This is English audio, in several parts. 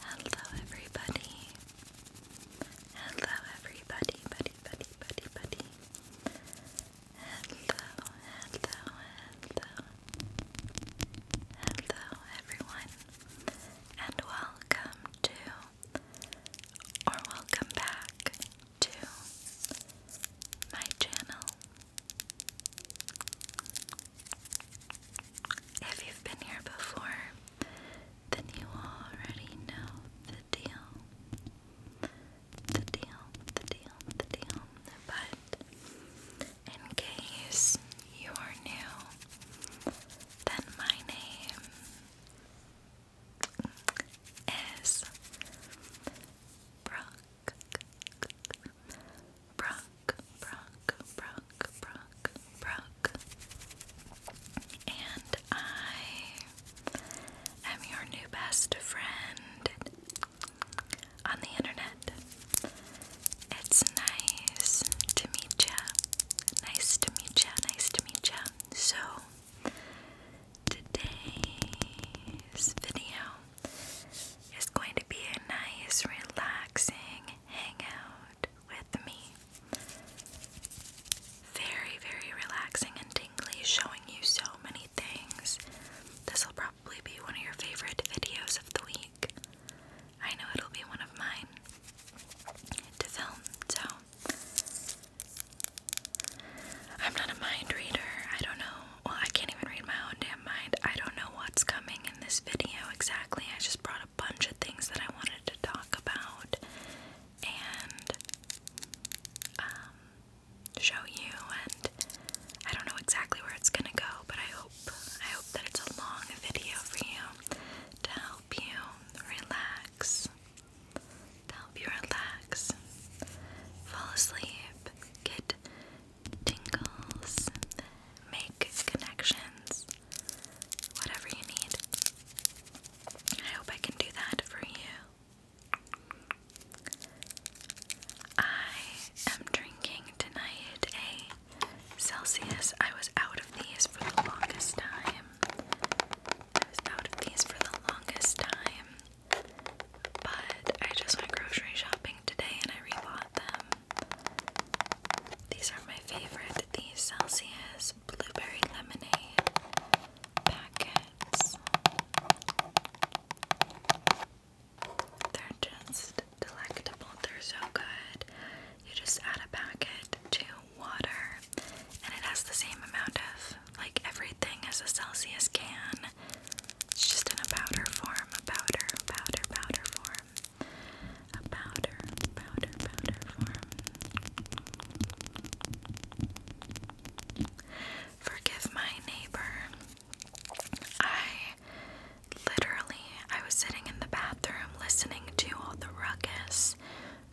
Hello, everybody. Hello, everybody, buddy, buddy, buddy, buddy. Hello, hello, hello. Hello, everyone, and welcome to, or welcome back to, my channel. If you've been here before, then you already know the deal. The deal, the deal, the deal. But in case you are new, then my name is Brooke. Brock, Brock, Brock, Brock, Brock. And I am your new best friend on the internet. It's nice to meet ya. Nice to meet ya. Nice to meet ya. So, today's video it's going to be a nice, relaxing hangout with me. Very, very relaxing and tingly, showing you so many things. This will probably be one of your favorite videos of the week. I know it'll be one of mine to film, so. I'm not a mind reader. I don't know well, I can't even read my own damn mind. I don't know what's coming in this video exactly. I just brought a bunch of things that I wanted to talk about and um, show you, and I don't know exactly where it's gonna go, but I hope I hope that it's a long video for you to help you relax, to help you relax, fall asleep, get tingles, make connections, whatever you need. I hope I can do that for you. I am drinking tonight a Celsius. I was out of these for the longest time. I was out of these for the longest time. But I just went grocery shopping today and I rebought them. These are my favorite. The Celsius Blueberry Lemonade packets. They're just delectable. They're so good. You just add a packet to water and it has the same amount of like everything as a Celsius can. It's just in a powder form, a powder, powder, powder form. A powder, powder, powder form. Forgive my neighbor. I literally, I was sitting in the bathroom listening to all the ruckus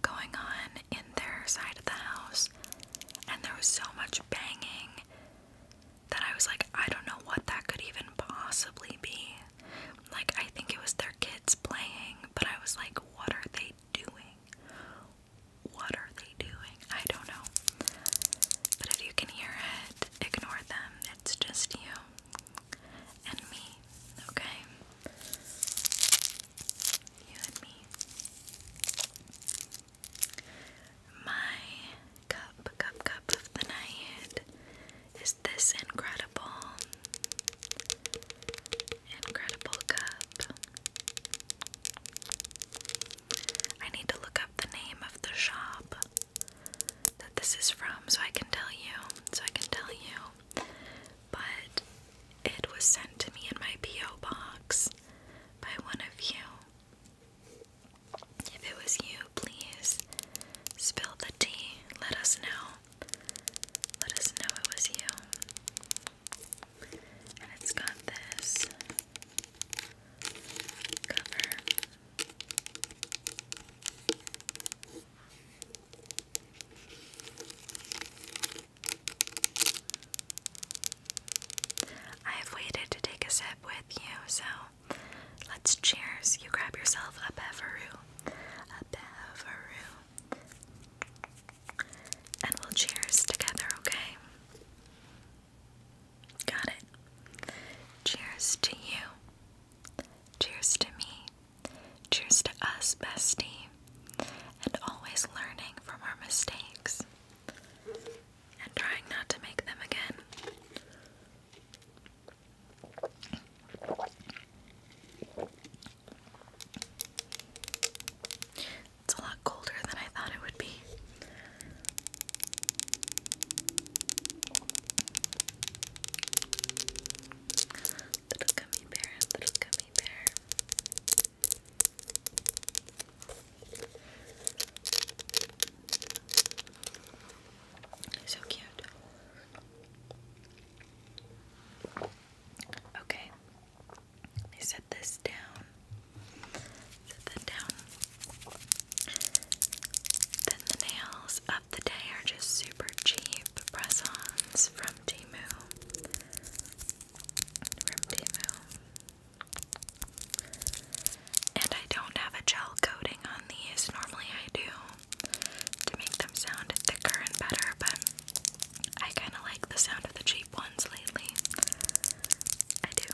going on in their side of the house, and there was so much banging that I was like, I don't know what that could even possibly be. Like, I think it was their kids playing, but I was like, what are they doing? What are they doing? I don't know. But if you can hear it, ignore them. It's just you and me, okay? You and me. My cup, cup, cup of the night is this incredible, incredible cup. I need to look up the name of the shop that this is from so I can tell you, so I can tell you. But it was sent to me in my P.O. box by one of you. If it was you, please spill the tea. Let us know. Let us know it was you. And it's got this cover. I have waited to take a sip with you, so let's cheers. You grab yourself a beveroo, a beveroo, and we'll cheers together, okay? Got it. Cheers to you. Cheers to me. Cheers to us, bestie. And always learning from our mistakes and trying not to make them again. It's a lot colder than I thought it would be. Little gummy bear, little gummy bear. So cute. Okay. Let me set this down. Set that down. Then the nails of the day are just super cheap press-ons from Timu. From Timu. And I don't have a gel coating on these. Normally I do to make them sound thicker and better, but I kind of like the sound of the cheap ones lately. I do.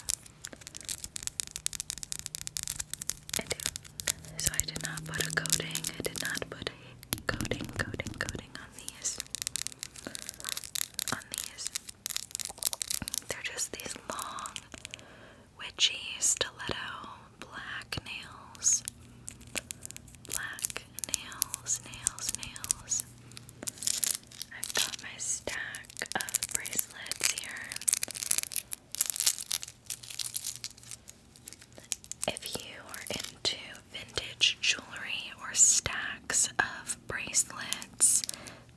I do. So I did not put a coating. I did not put a coating, coating, coating on these. On these. They're just these long, witchy stiletto black nails. Black nails, nails, nails. I've got my stack of bracelets here. If you are into vintage jewelry or stacks of bracelets,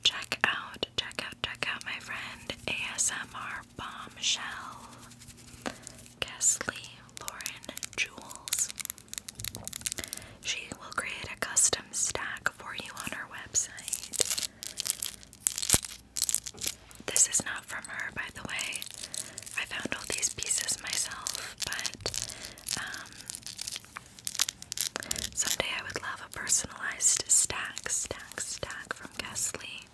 Check out, check out, check out my friend ASMR Bombshell, Kesley Lauren Jules. She will create a custom stack for you on her website. This is not from her, by the way. I found all these pieces myself, but um, Someday I would love a personalized stack, stack, stack from Kesley.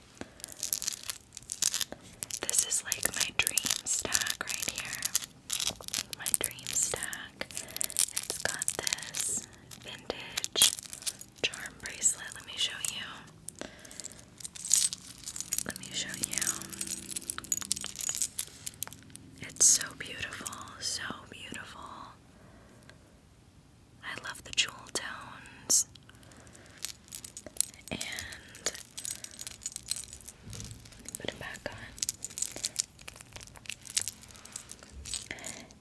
This is like my dream stack right here. My dream stack. It's got this vintage charm bracelet. Let me show you. Let me show you. It's so beautiful, so beautiful. I love the jewel tones. And put it back on.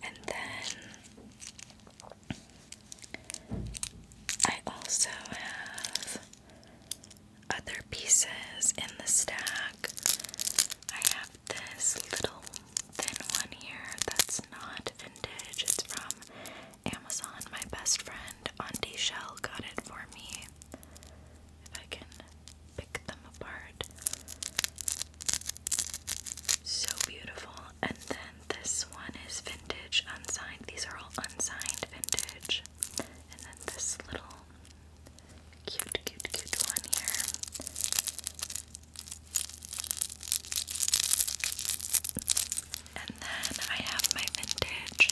And then I also have other pieces in the stack. I have this little thin one here that's not vintage. It's from Amazon. My best friend, Auntie Shell, got it for me. If I can pick them apart. So beautiful. And then this one is vintage, unsigned. These are all unsigned vintage. And then this little cute, cute, cute one here. And then I have my vintage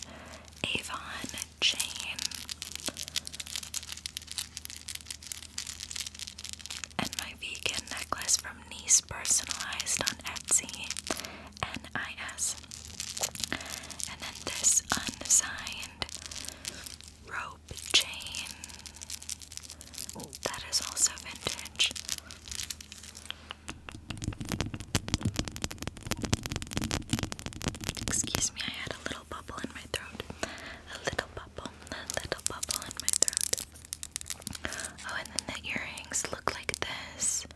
Avon chain. And my vegan necklace from Nice personalized on Etsy. NIS. And then this unsigned rope chain. That is also vintage. Excuse me, I had a little bubble in my throat. A little bubble, a little bubble in my throat. Oh, and then the earrings look like this.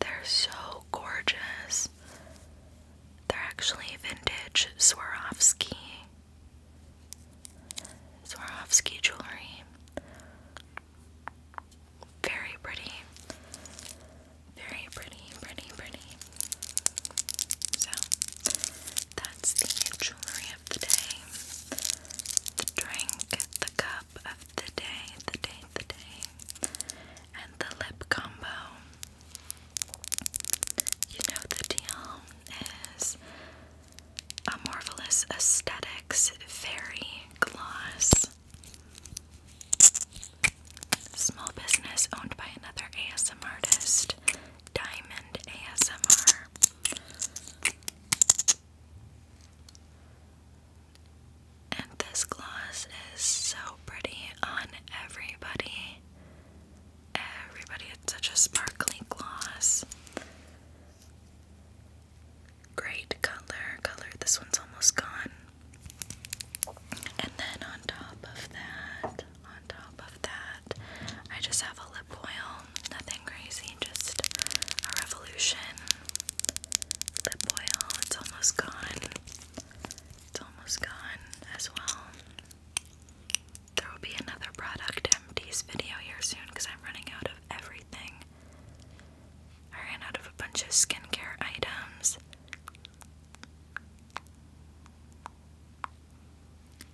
They're so gorgeous. They're actually vintage Swarovski Swarovski jewelry. Very pretty. Very pretty, pretty, pretty. So that's the jewelry of the day. The drink, the cup of the day, the day, the day. And the lip combo. You know the deal is a Marvelous Aesthetics Fairy Gloss. Small business owned by another ASMR artist, Diamond ASMR this gloss is so pretty on everybody. Everybody, it's such a sparkly gloss. Great color, color. This one's almost gone. And then on top of that, on top of that, I just have a lip oil. Nothing crazy, just a revolution lip oil. It's almost gone. It's almost gone as well. There will be another product empties video here soon because I'm running out of everything. I ran out of a bunch of skincare items.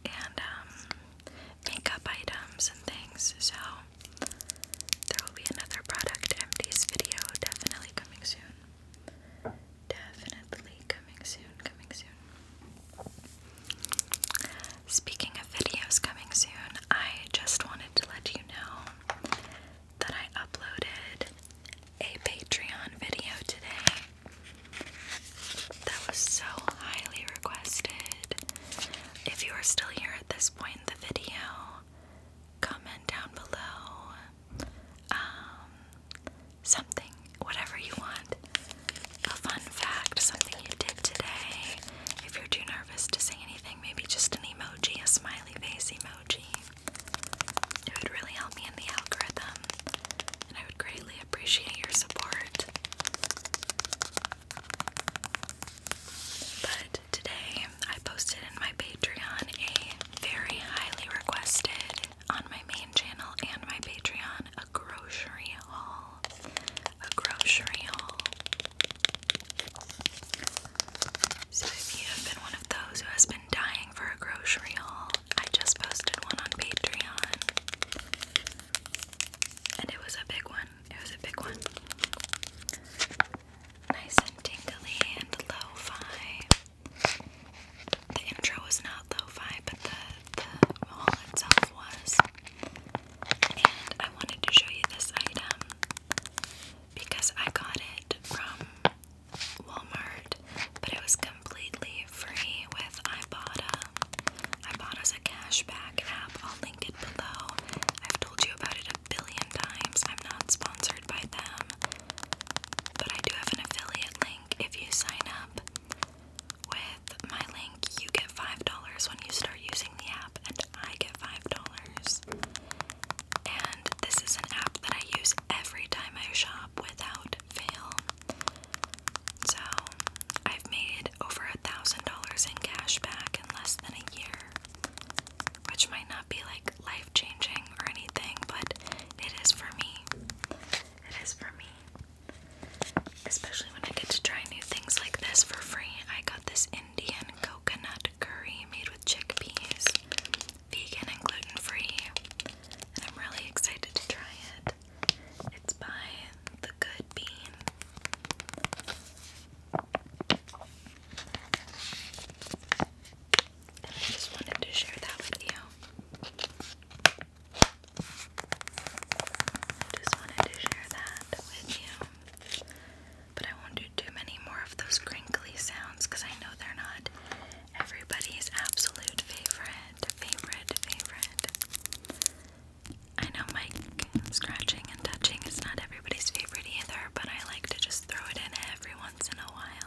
And um, makeup items and things. So there will be another product empties video definitely coming soon. Definitely coming soon, coming soon. Speaking of videos coming soon, I just wanted to let you know that I uploaded a Patreon video today that was so highly requested. If you are still here at this point in the video, comment down below um, something, whatever you want. A fun fact, something you did today. If you're too nervous to say anything, maybe just an emoji, a smiley face emoji. It would really help me in the algorithm, and I would greatly appreciate your support. But today I posted in my Patreon a very highly requested on my main channel and my Patreon a grocery haul. A grocery haul. So if you have been one of those who has been dying for a grocery haul, I just posted one on Patreon. And it was a big one. It was a big one. Nice and tingly and lo-fi. The intro was not lo-fi, but the, the haul itself was. And I wanted to show you this item because I got it from Walmart, but it was completely free with Ibotta. Ibotta Ibotta's a cashback app. I'll link it below. I've told you about it billion times. I'm not sponsored by them, but I do have an affiliate link. If you sign up with my link, you get $5 when you start using the app, and I get $5. And this is an app that I use every time I shop without fail. So I've made over a thousand dollars in cash back in less than a year which might not be like life changing or anything, but it is for me. It is for me. Especially when I get to try new things like this for free. I got this Indian coconut curry made with chickpeas, vegan and gluten free, and I'm really excited to try it. It's by The Good Bean. I just wanted to share that with you. I just wanted to share that with you. But I won't do too many more of those crinkly sounds because I know they're not everybody's absolute favorite, favorite, favorite. I know mic scratching and touching is not everybody's favorite either, but I like to just throw it in every once in a while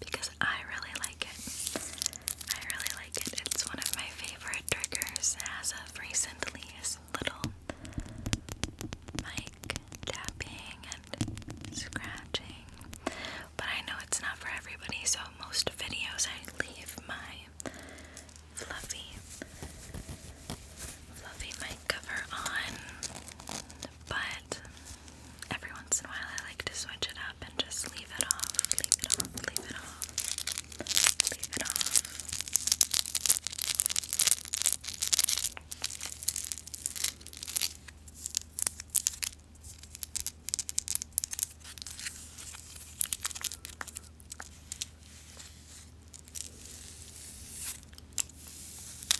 because I really like it. I really like it. It's one of my favorite triggers as of recently little mic tapping and scratching. But I know it's not for everybody, so most videos I leave my fluffy fluffy mic cover on but every once in a while I like to switch it up and just leave it off, leave it off, leave it off, leave it off.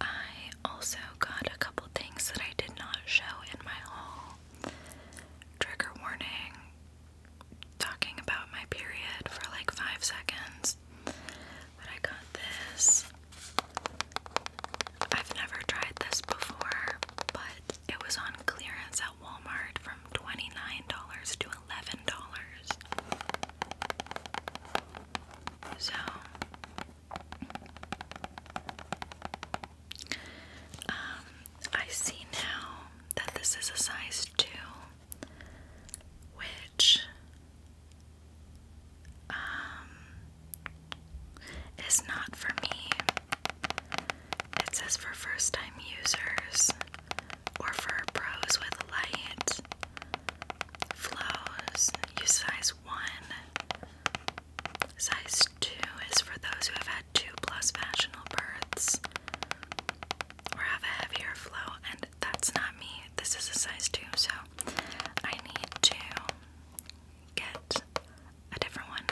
I also got a couple things that I did not show in my haul. Trigger warning talking about my period for like five seconds. But I got this. I've never tried this before, but it was on clearance at Walmart from $29 to $11. So um, I see now that this is a size 2, which um, is not for me. It says for first time users or for pros with light flows. Use size 1. Size 2 is for those who have had 2 plus vaginal births or have a heavier flow, and that's not me. This is a size 2, so I need to get a different one.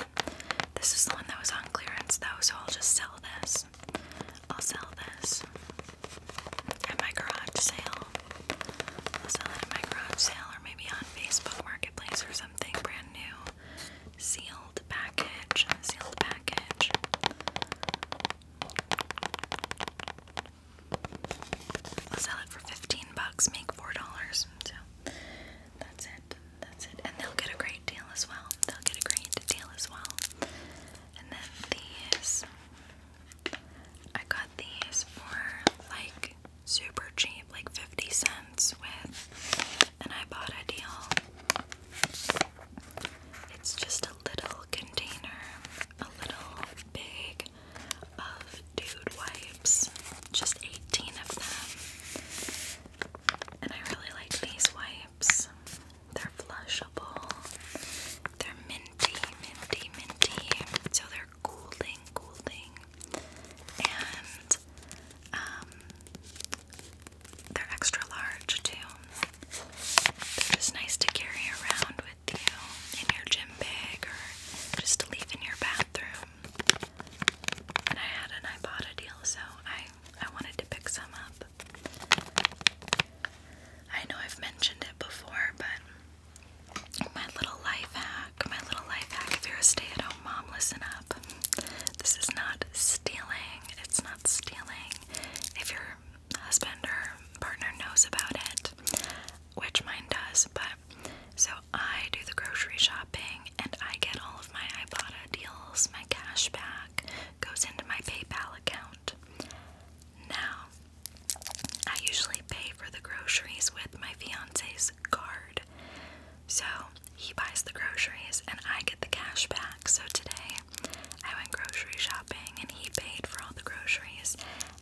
This is the one that was on clearance, though, so I'll just sell this. I'll sell this at my garage sale. sell it at my garage sale or maybe on Facebook Marketplace or something brand new. Sealed package. Sealed package. I'll sell it for 15 bucks, make $4. So that's it. That's it. And they'll get a great deal as well. They'll get a great deal as well. And then these I got these for like super cheap, like 50 cents with, and I bought a deal. It's just a little container, a little bag of dude wipes, just 18 of them. And I really like these wipes. They're flushable they're minty, minty, minty. So they're cooling, cooling. And um they're extra large too. They're just nice to carry around with you in your gym bag or just to leave in your bathroom. And I had an Ibotta deal, so I I wanted to pick some up. I know I've mentioned it before, but my little life hack, my little life hack. If you're a stay at home mom, listen up. This is not stealing, it's not stealing. If your husband or partner knows about it, which mine does, but so I do the grocery shopping and I get all of my Ibotta deals, my cash back goes into my PayPal account. Now, I usually pay for the groceries with my fiance's card. So he buys the groceries and I get the cash back. So today I went grocery shopping and he paid for all the groceries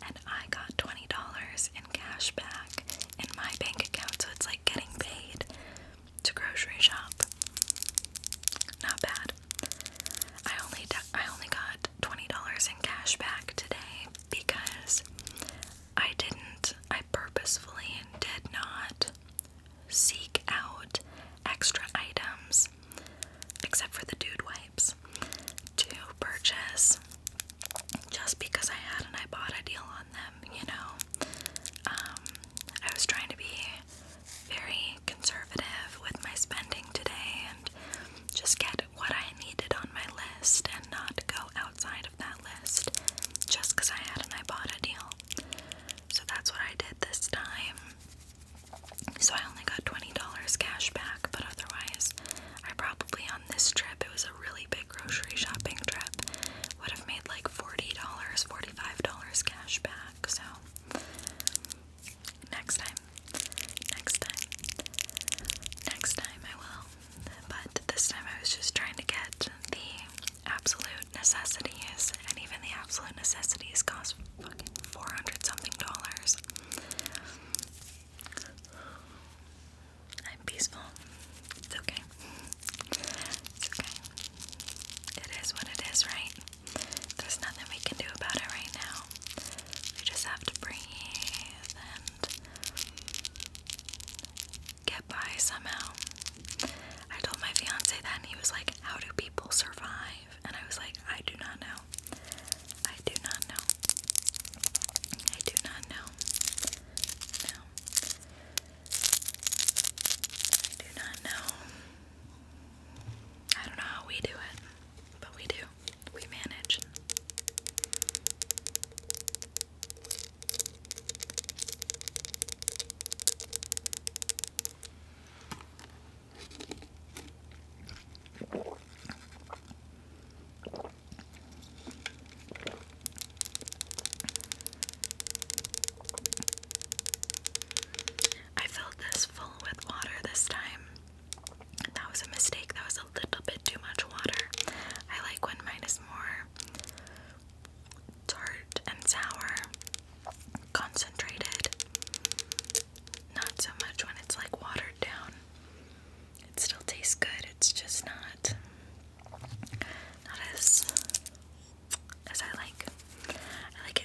and I got $20 in cash back in my bank account. So it's like getting paid to grocery shop. Not bad. I only I only got twenty dollars in cash back today because I didn't I purposefully did not seek out extra items except for the dude wipes to purchase just because I had and I bought a deal on them, you know. Um, I was trying to be very conservative with my spending today and just get what I needed on my list and not go outside of that list just because I had an Ibotta deal. So that's what I did this time. So I only got $20 cash back, but otherwise, I probably on this trip, it was a really big grocery shopping trip, would have made like $40, $45 cash back. So next time, next time, next time I will. But this time I was just trying to get the absolute necessities, and even the absolute necessities cost fucking 400 something dollars. I'm peaceful. It's okay. It's okay. It is what it is, right? there's nothing we can do about it right now. We just have to breathe and get by somehow. I told my fiance that, and he was like, How do people survive? And I was like, I do not know. I do not know. I do not know. No. I do not know. I don't know how we do it. But we do. We manage. I filled this full with water this time that was a mistake. That was a little bit too much water. I like when mine is more tart and sour, concentrated. Not so much when it's like watered down. It still tastes good. It's just not not as as I like. I like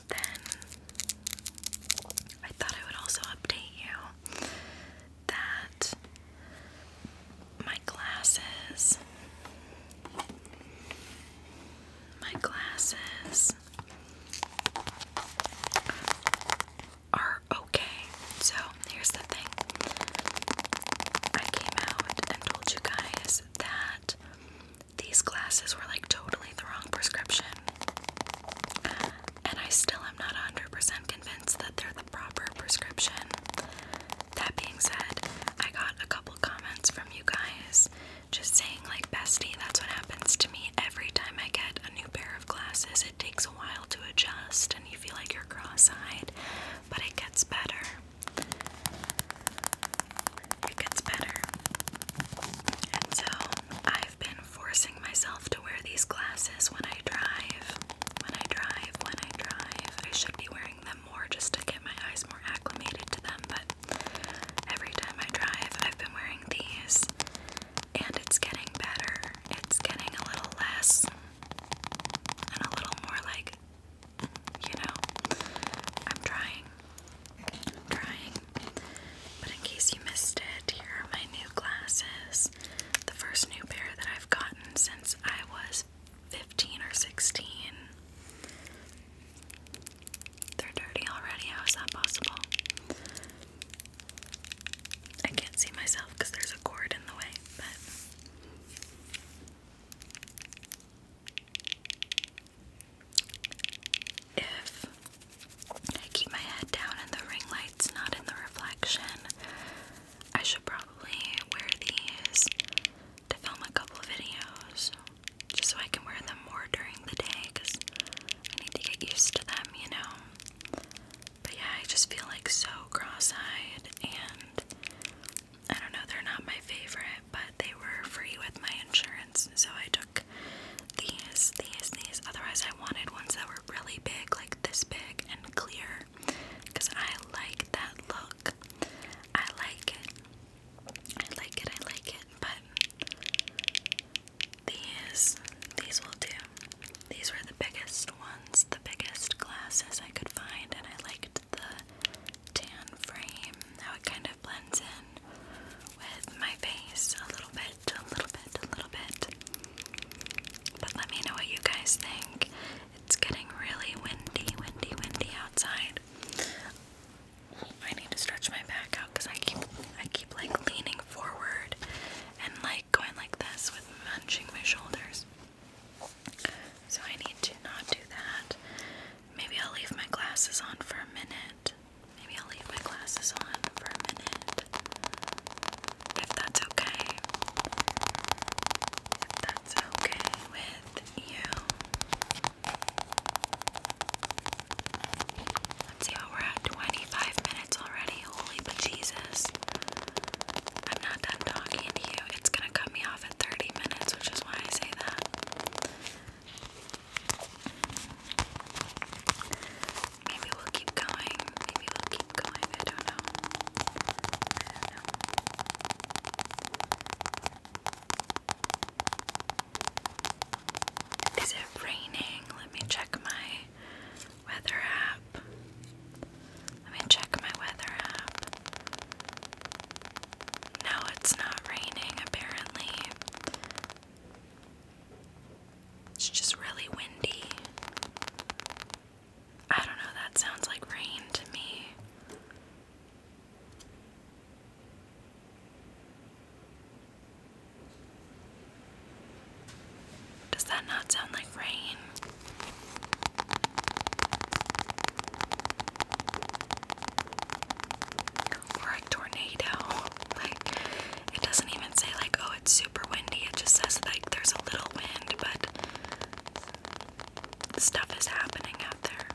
then I thought I would also update you that my glasses my glasses are okay. So here's the thing. I came out and told you guys that these glasses were like totally the wrong prescription. And I still am not 100% convinced that they're the proper prescription. That being said, I got a couple comments from you guys just saying, like, bestie, that's what happens to me every time I get a new pair of glasses. It takes a while to adjust and you feel like you're cross eyed, but it gets better. It gets better. And so I've been forcing myself to wear these glasses when I drive. When I drive, when I drive. I should be wearing them more just to get my eyes more acclimated to them, but every time I drive, I've been wearing these. And it's getting better. It's getting a little less and a little more like, you know, I'm trying i But in case you missed it, here are my new glasses. The first new pair that I've gotten since I was 15 or 16. They're dirty already. How is that possible? I can't see myself because there's a cord in the way, but if I keep my head down and the ring light's not in the reflection, I should probably wear these to film a couple of videos just so I can wear them more during the day because I need to get used to them, you know. But yeah, I just feel like so cross eyed, and I don't know, they're not my favorite, but they were free with my insurance, so I took like these, these, these. Otherwise, I wanted ones that were really big, like this big and clear, because I like that look. I like it. I like it. I like it. But these, these will do. These were the biggest ones, the biggest glasses I could find, and I liked the tan frame, how it kind of blends in with my face a little bit, a little bit, a little bit. But let me know what you guys think. It's getting really windy, windy, windy outside. I need to stretch my back out because I keep I keep like leaning forward and like going like this with munching my shoulders. So I need to not do that. Maybe I'll leave my glasses on for a minute Maybe I'll leave my glasses on for a minute. If that's okay. If that's okay with you. Let's see how we're at 25 minutes already. Holy but Jesus. I'm not done talking to you. It's gonna cut me off at 30 minutes, which is why I say that. Maybe we'll keep going. Maybe we'll keep going. I don't know. I don't know. Is it raining? Let me check my weather app. Let me check my weather app. No, it's not raining apparently. It's just really windy. I don't know, that sounds like rain to me. Does that not sound like rain? or a tornado. Like it doesn't even say like oh it's super windy. It just says like there's a little wind, but stuff is happening out there.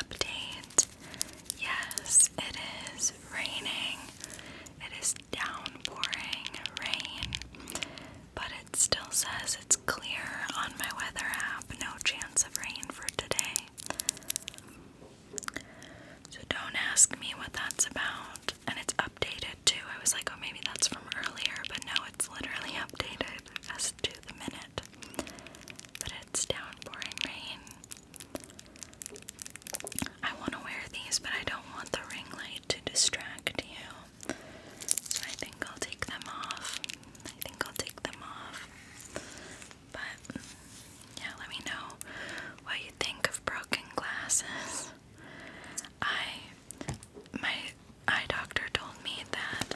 Update. Yes, it is raining. It is downpouring rain, but it still says it's clear on my weather app. No chance of rain for today. So don't ask me what that's about. And it's updated too. I was like, oh, maybe that's from earlier, but no, it's literally updated as to the minute. But it's downpouring rain. I want to wear these, but I don't want the ring light to distract you. I think I'll take them off. I think I'll take them off. But yeah, let me know what you think of broken glasses. I my eye doctor told me that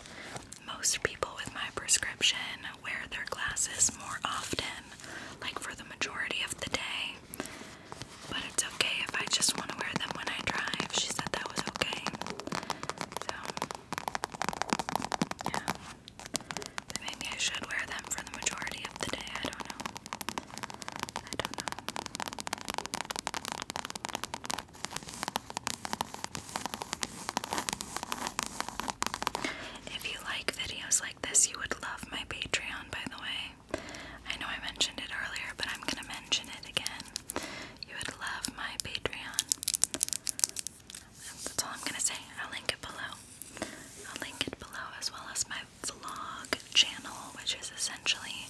most people with my prescription wear their glasses more often, like for the majority of the day. But it's okay if I just want to wear them when I drive. She said that was okay. So, yeah. But maybe I should wear them for the majority of the day. I don't know. I don't know. If you like videos like this, you would love my Patreon, by the way. I know I mentioned it earlier, but I'm gonna mention it again. You would love my Patreon. That's all I'm gonna say. I'll link it below. I'll link it below as well as my vlog channel, which is essentially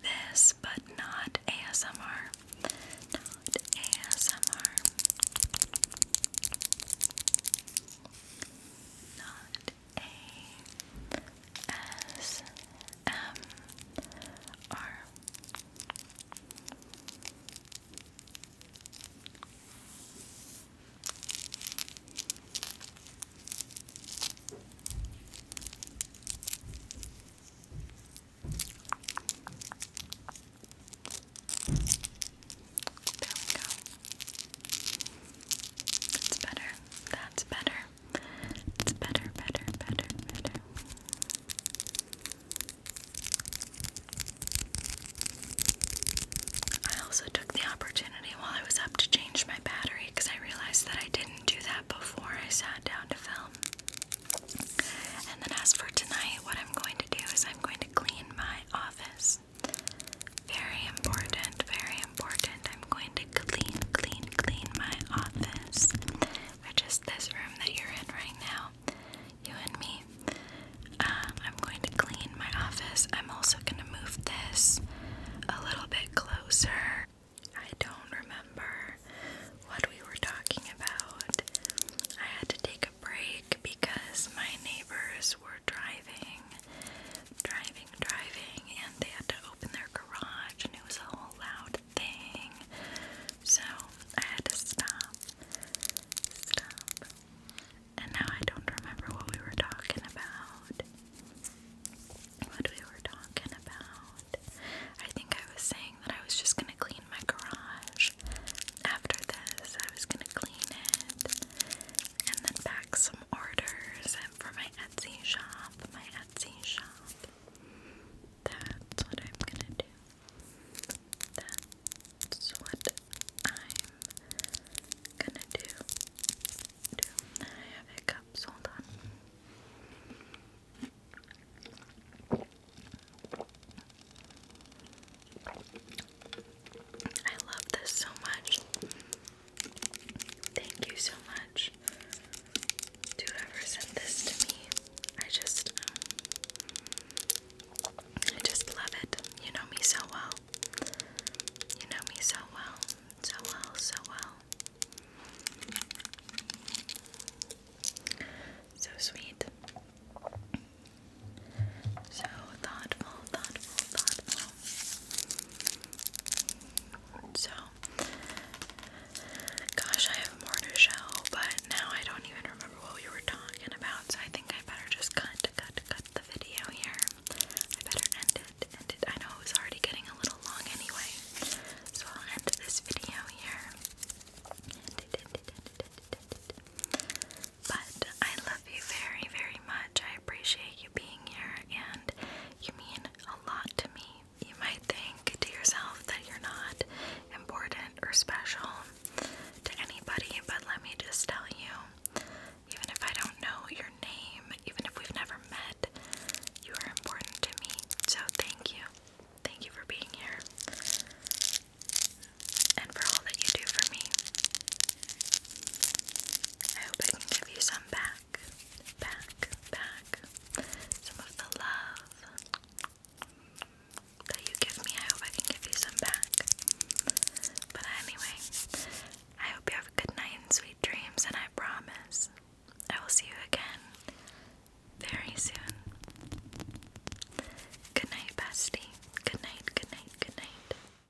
this, but not ASMR. Not ASMR. Not a S M R. There we go. That's better. That's better. It's better, better, better, better. I also took the opportunity while I was up to change my battery because I realized that I didn't do that before I sat down to film. And then, as for tonight, what I'm going to do is I'm going to clean my office. Very important, very important. I'm going to clean, clean, clean my office, which is this room that you're in right now, you and me. Um, I'm going to clean my office. I'm also going to move this a little bit closer. I don't remember what we were talking about. I had to take a break because my neighbors parents were driving, driving, driving, and they had to open their garage, and it was a whole loud thing. So I had to stop, stop. And now I don't remember what we were talking about. What we were talking about. I think I was saying that I was just gonna clean my garage after this. I was gonna clean it and then pack some orders and for my Etsy shop, my Etsy shop. That's what I'm gonna do. That's what I'm gonna do. I have hiccups, hold on. I love this so much. Thank you so much to whoever sent this to me. I just, um, I just love it. You know me so well. You know me so well, so well, so well. So sweet. So thoughtful, thoughtful, thoughtful. So, gosh, I have more to show, but now I don't even remember what we were talking about, so I think I better just cut, cut, cut the video here. I better end it, end it. I know it already getting a little long anyway, so I'll end this video here. But I love you very, very much. I appreciate being here, and you mean a lot to me. You might think to yourself that you're not important or special to anybody, but let me just tell you even if I don't know your name, even if we've never met, you are important to me. So thank you. Thank you for being here and for all that you do for me. I hope I can give you some back, back, back. Some of the love that you give me, I hope I can give you some back. But anyway, I hope you have a good night and sweet dreams, and I promise I will see you again very soon. Good night, bestie. Good night, good night, good night.